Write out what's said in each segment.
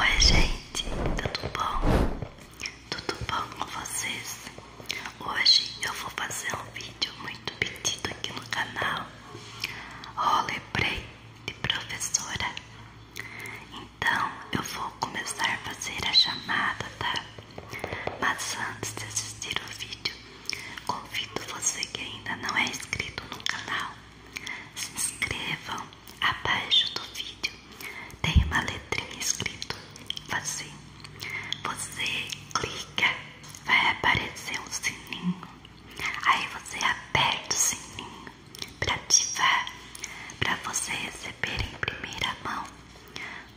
Oi gente, tudo bom? Tudo bom com vocês? Hoje eu vou fazer um vídeo muito pedido aqui no canal Roleplay de professora Então eu vou começar a fazer a chamada, tá? Mas antes de assistir o vídeo Convido você que ainda não é inscrito no canal se inscrevam abaixo do vídeo. Tem uma letrinha escrita. assim. Você clica, vai aparecer um sininho. Aí você aperta o sininho para ativar, para você receber em primeira mão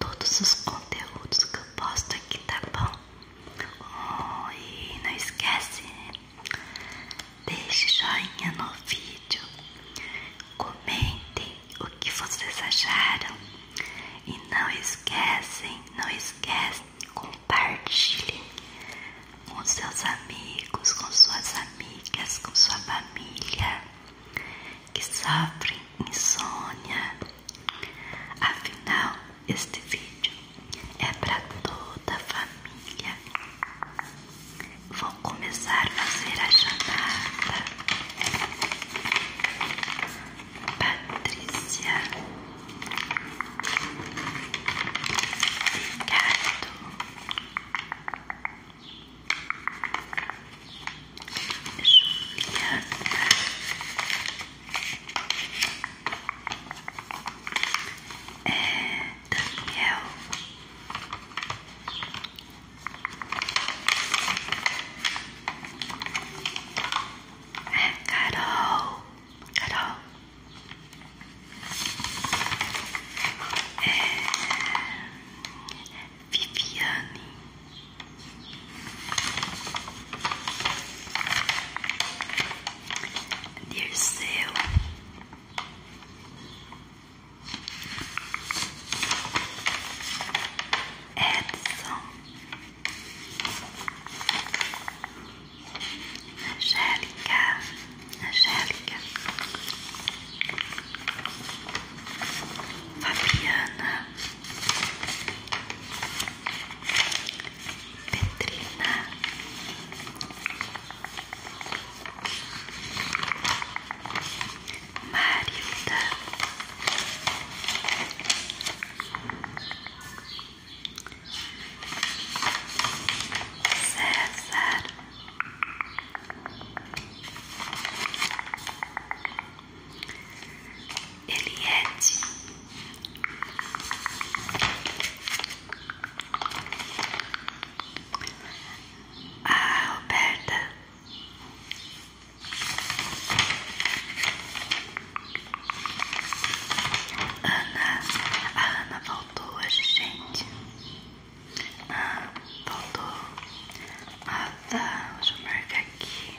todos os conteúdos que eu posto aqui, tá bom? e não esquece deixe joinha no vídeo, comentem o que vocês acharam e não esquecem, não esquecem, compartilhem com seus amigos, com suas amigas, com sua família que sofrem insônia. Afinal, este vídeo é para toda a família. Vou começar a fazer a chamada. Patrícia, Ricardo, Juliana é, Daniel Carol Carol é, Viviane Dirceu. Edson. Angélica. Angélica. Fabiana. Petrina. Marilda. César. Eliete. Ah, Roberta. Ana, a Ana voltou hoje, gente. Ah, voltou. Ah, tá. Deixa eu aqui.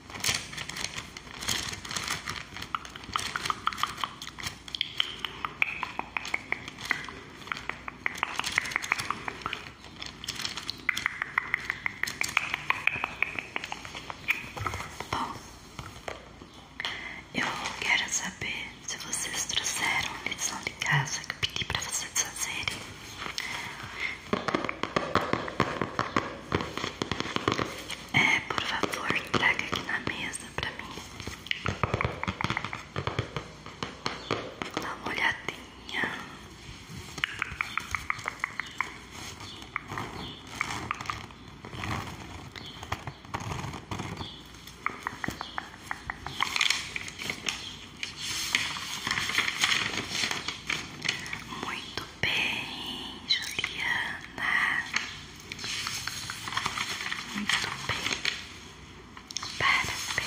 Bom, eu quero saber se vocês trouxeram a lição de casa que pedi para vocês fazerem. É, por favor, traga aqui na mesa pra mim. Dá uma olhadinha. Muito bem, Juliana. Muito bem. Parabéns.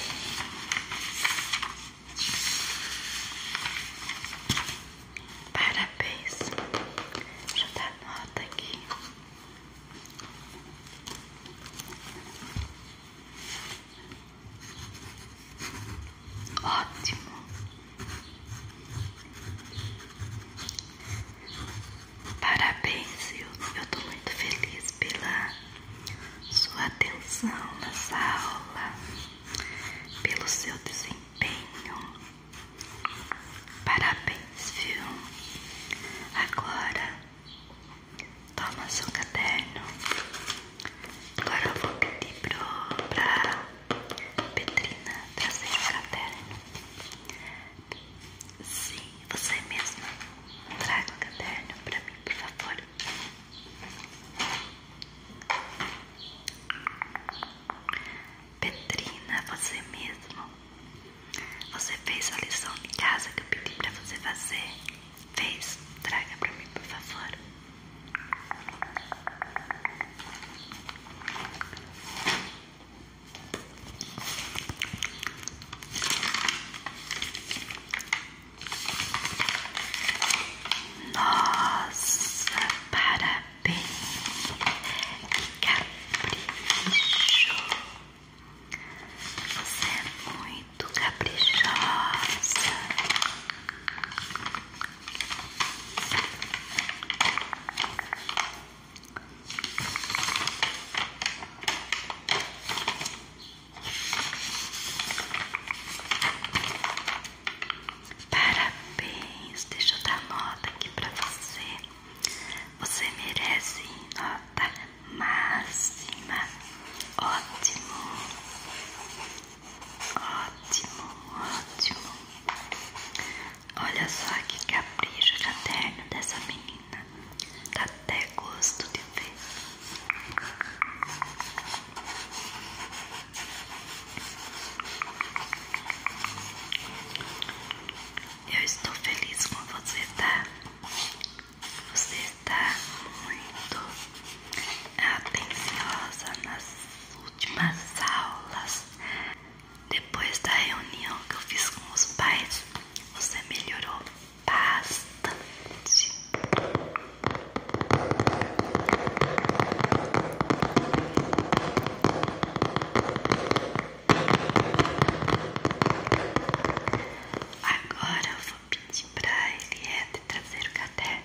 Parabéns. Deixa eu dar nota aqui. Ótimo. Parabéns, eu, eu tô muito feliz pela sua atenção nessa aula, pelo seu desempenho. Parabéns, viu? Agora, toma seu caderno Agora eu vou pedir pro, pra Petrina trazer o caderno. Sim, você mesma. Traga o caderno para mim, por favor. Petrina, você mesmo. Você fez a lição de casa que eu pedi para você fazer. Face, traga pra mim, por favor. Nossa, parabéns, capricho! Você é muito muito caprichosa. Parabéns, deixa eu dar nota aqui pra você. Você merece nota máxima. Ótimo. Ótimo, ótimo. Olha só que capricho caderno dessa menina. Tá até gosto de ver. Eu estou feliz com você, tá? Você está muito atenciosa nas últimas aulas. Depois da reunião que eu fiz com os pais, você melhorou bastante. Agora eu vou pedir pra ele é de trazer o caderno.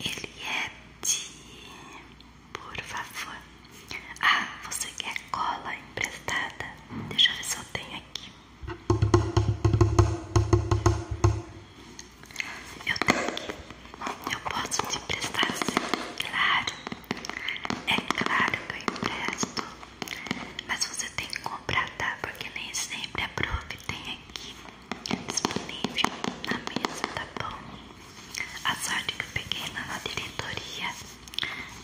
Ele é de. Por favor. Ah, você quer cola emprestada? Deixa eu ver se eu tenho aqui. Eu tenho aqui. Eu posso te emprestar sim, claro. É claro que eu empresto. Mas você tem que comprar tá? Porque nem sempre a prof tem aqui disponível na mesa, tá bom? A sorte que eu peguei lá na diretoria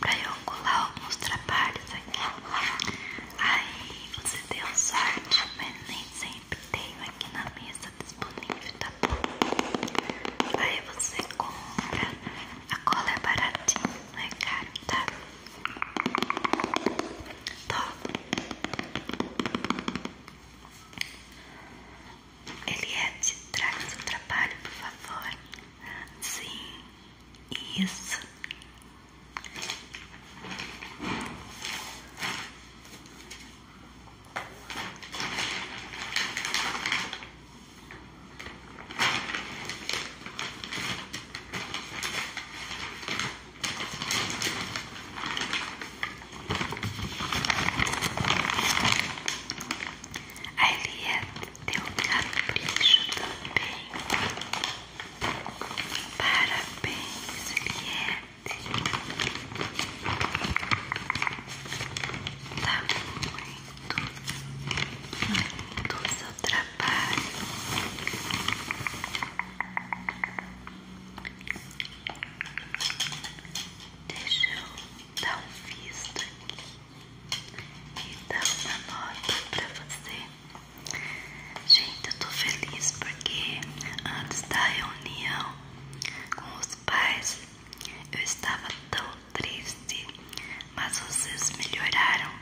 pra eu colar alguns trabalhos aqui. Aí você deu sorte, mas nem sempre tem aqui na mesa disponível, tá bom? Aí você compra, a cola é baratinha, não é caro, tá? Toma. Tá. Eliette, é traga seu trabalho, por favor. Sim, isso. A Elia deu um capricho também. Parabéns, Eliette. Tá muito, muito no trabalho. Deixa eu dar um visto aqui e dar uma nota pra você. Gente, eu tô feliz porque antes da reunião com os pais eu estava tão triste, mas vocês melhoraram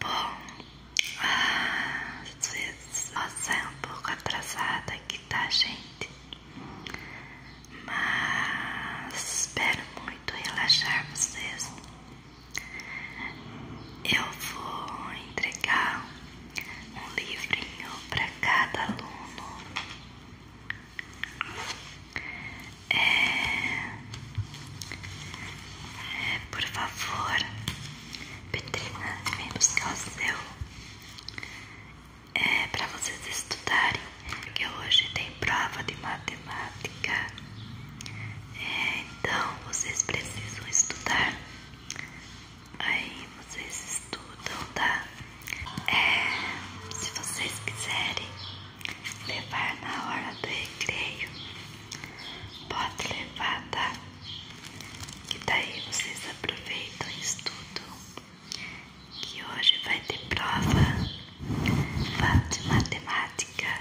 Bom, às vezes nós é um pouco atrasada aqui, tá, gente? Mas espero muito relaxar vocês eu vou entregar um livrinho para cada aluno. É, é... por favor, Petrina, vem buscar o seu. É para vocês estudarem, que hoje tem prova de matemática matemática. É, então vocês precisam estudar. Aí vocês estudam, tá? É, se vocês quiserem levar na hora do recreio, pode levar, tá? Que daí vocês aproveitam e estudam. Que hoje vai ter prova Fala de matemática.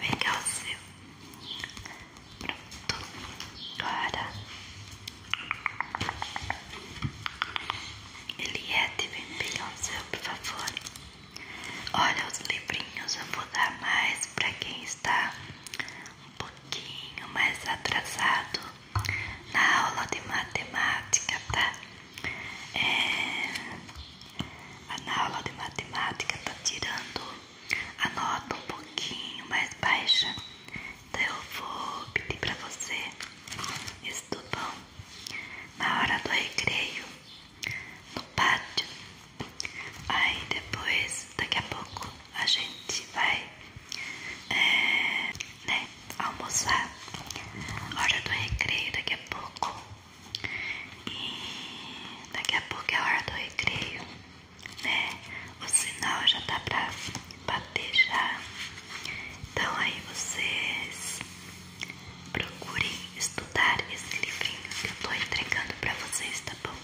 Vem cá o seu. Pronto. Agora. Eliette, vem pegar o seu, por favor. Olha os livrinhos, eu vou dar mais para quem está um pouquinho mais atrasado na aula de matemática, tá? É, a na aula de matemática tá tirando a nota um pouquinho mais baixa. Então eu vou pedir pra você, estudão, na hora do recreio, no pátio. Aí depois, daqui a pouco, a gente vai. É, né? Almoçar, hora do recreio daqui a pouco. E daqui a pouco é hora do recreio, né? O sinal já tá pra bater já. Então aí vocês procurem estudar esse livrinho que eu tô entregando pra vocês, tá bom?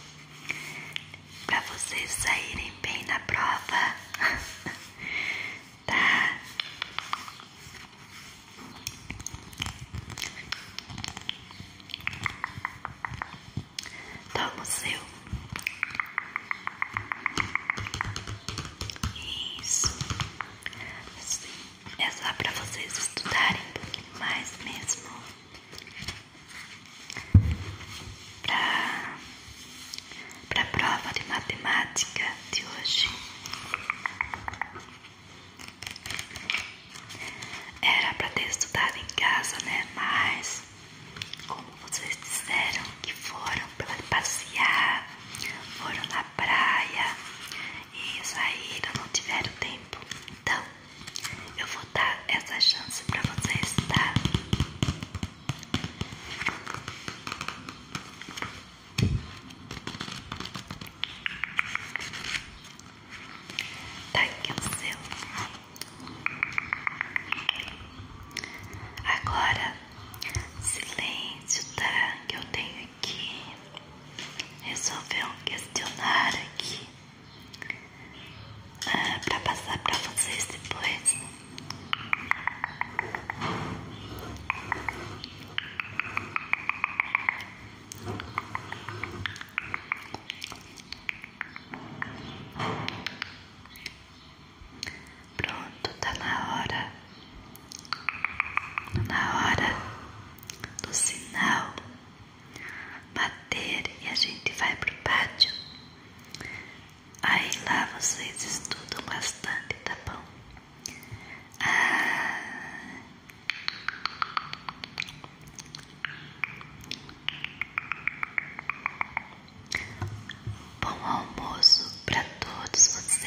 Pra vocês saírem bem na prova. tá? Toma o seu. Isso. Assim, é só para vocês estudarem um pouquinho mais mesmo. Pra para a prova de matemática de hoje. Era para ter estudado em casa, né? Mas, como vocês disseram que foram para passear, foram na praia e saíram, não tiveram tempo. Então, eu vou dar essa chance para vocês, tá? Tá aqui o seu. Agora, silêncio, tá? Que eu tenho que resolver um questionário aqui. Ah, pra passar pra vocês depois. Pronto, tá na hora, na hora do sinal bater e a gente vai pro pátio. Aí lá vocês estudam bastante, tá bom? Ah. Bom almoço para todos vocês.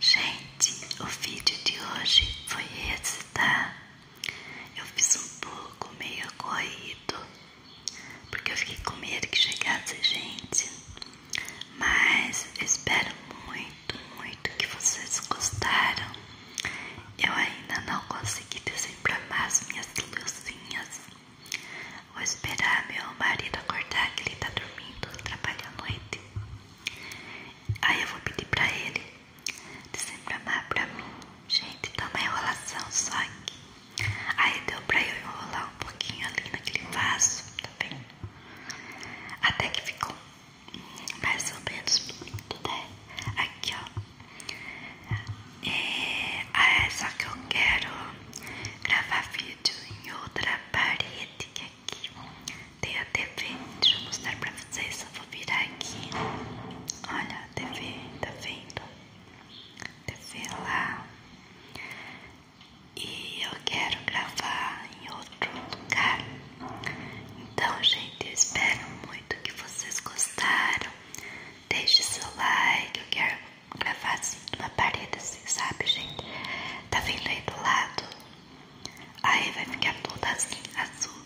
Gente, o vídeo de hoje foi esse, tá? Eu fiz um pouco meio corrido, porque eu fiquei com medo que chegasse gente. Mas espero muito, muito que vocês gostaram. Eu ainda não consegui desenframar as minhas luzinhas. Vou esperar meu marido acordar que ele tá dormindo, trabalha à noite. Aí eu vou pedir pra ele dizer pra amar pra mim. Gente, dá tá uma enrolação só aqui. Aí deu pra eu enrolar um pouquinho ali naquele vaso, tá vendo? Até que ficou mais ou menos bonito, né? Aqui, ó. É, ah, é só que eu quero gravar vídeo em outra parede que é aqui. Tem a TV, deixa eu mostrar pra vocês. Eu vou virar aqui. Olha a TV, tá vendo? TV lá. E eu quero gravar em outro lugar. Então, gente, eu espero muito que vocês gostaram. Deixe seu like. Eu quero gravar assim, numa parede assim, sabe, gente? Tá vendo aí do lado? Aí vai ficar toda assim, azul.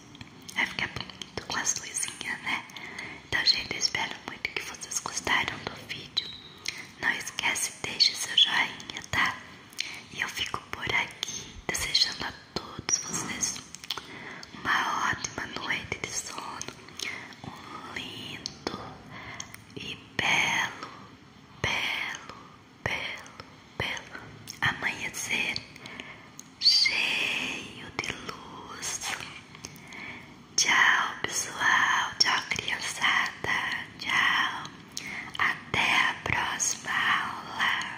Vai ficar bonito com as luzinhas, né? Então, gente, eu espero muito que vocês gostaram do vídeo. Não esquece, deixe seu joinha, tá? E eu fico por aqui, desejando a todos vocês uma ótima noite de sono, um lindo e belo, belo, pelo, belo amanhecer cheio de luz. Tchau, pessoal. Tchau, criançada. Tchau. Até a próxima aula.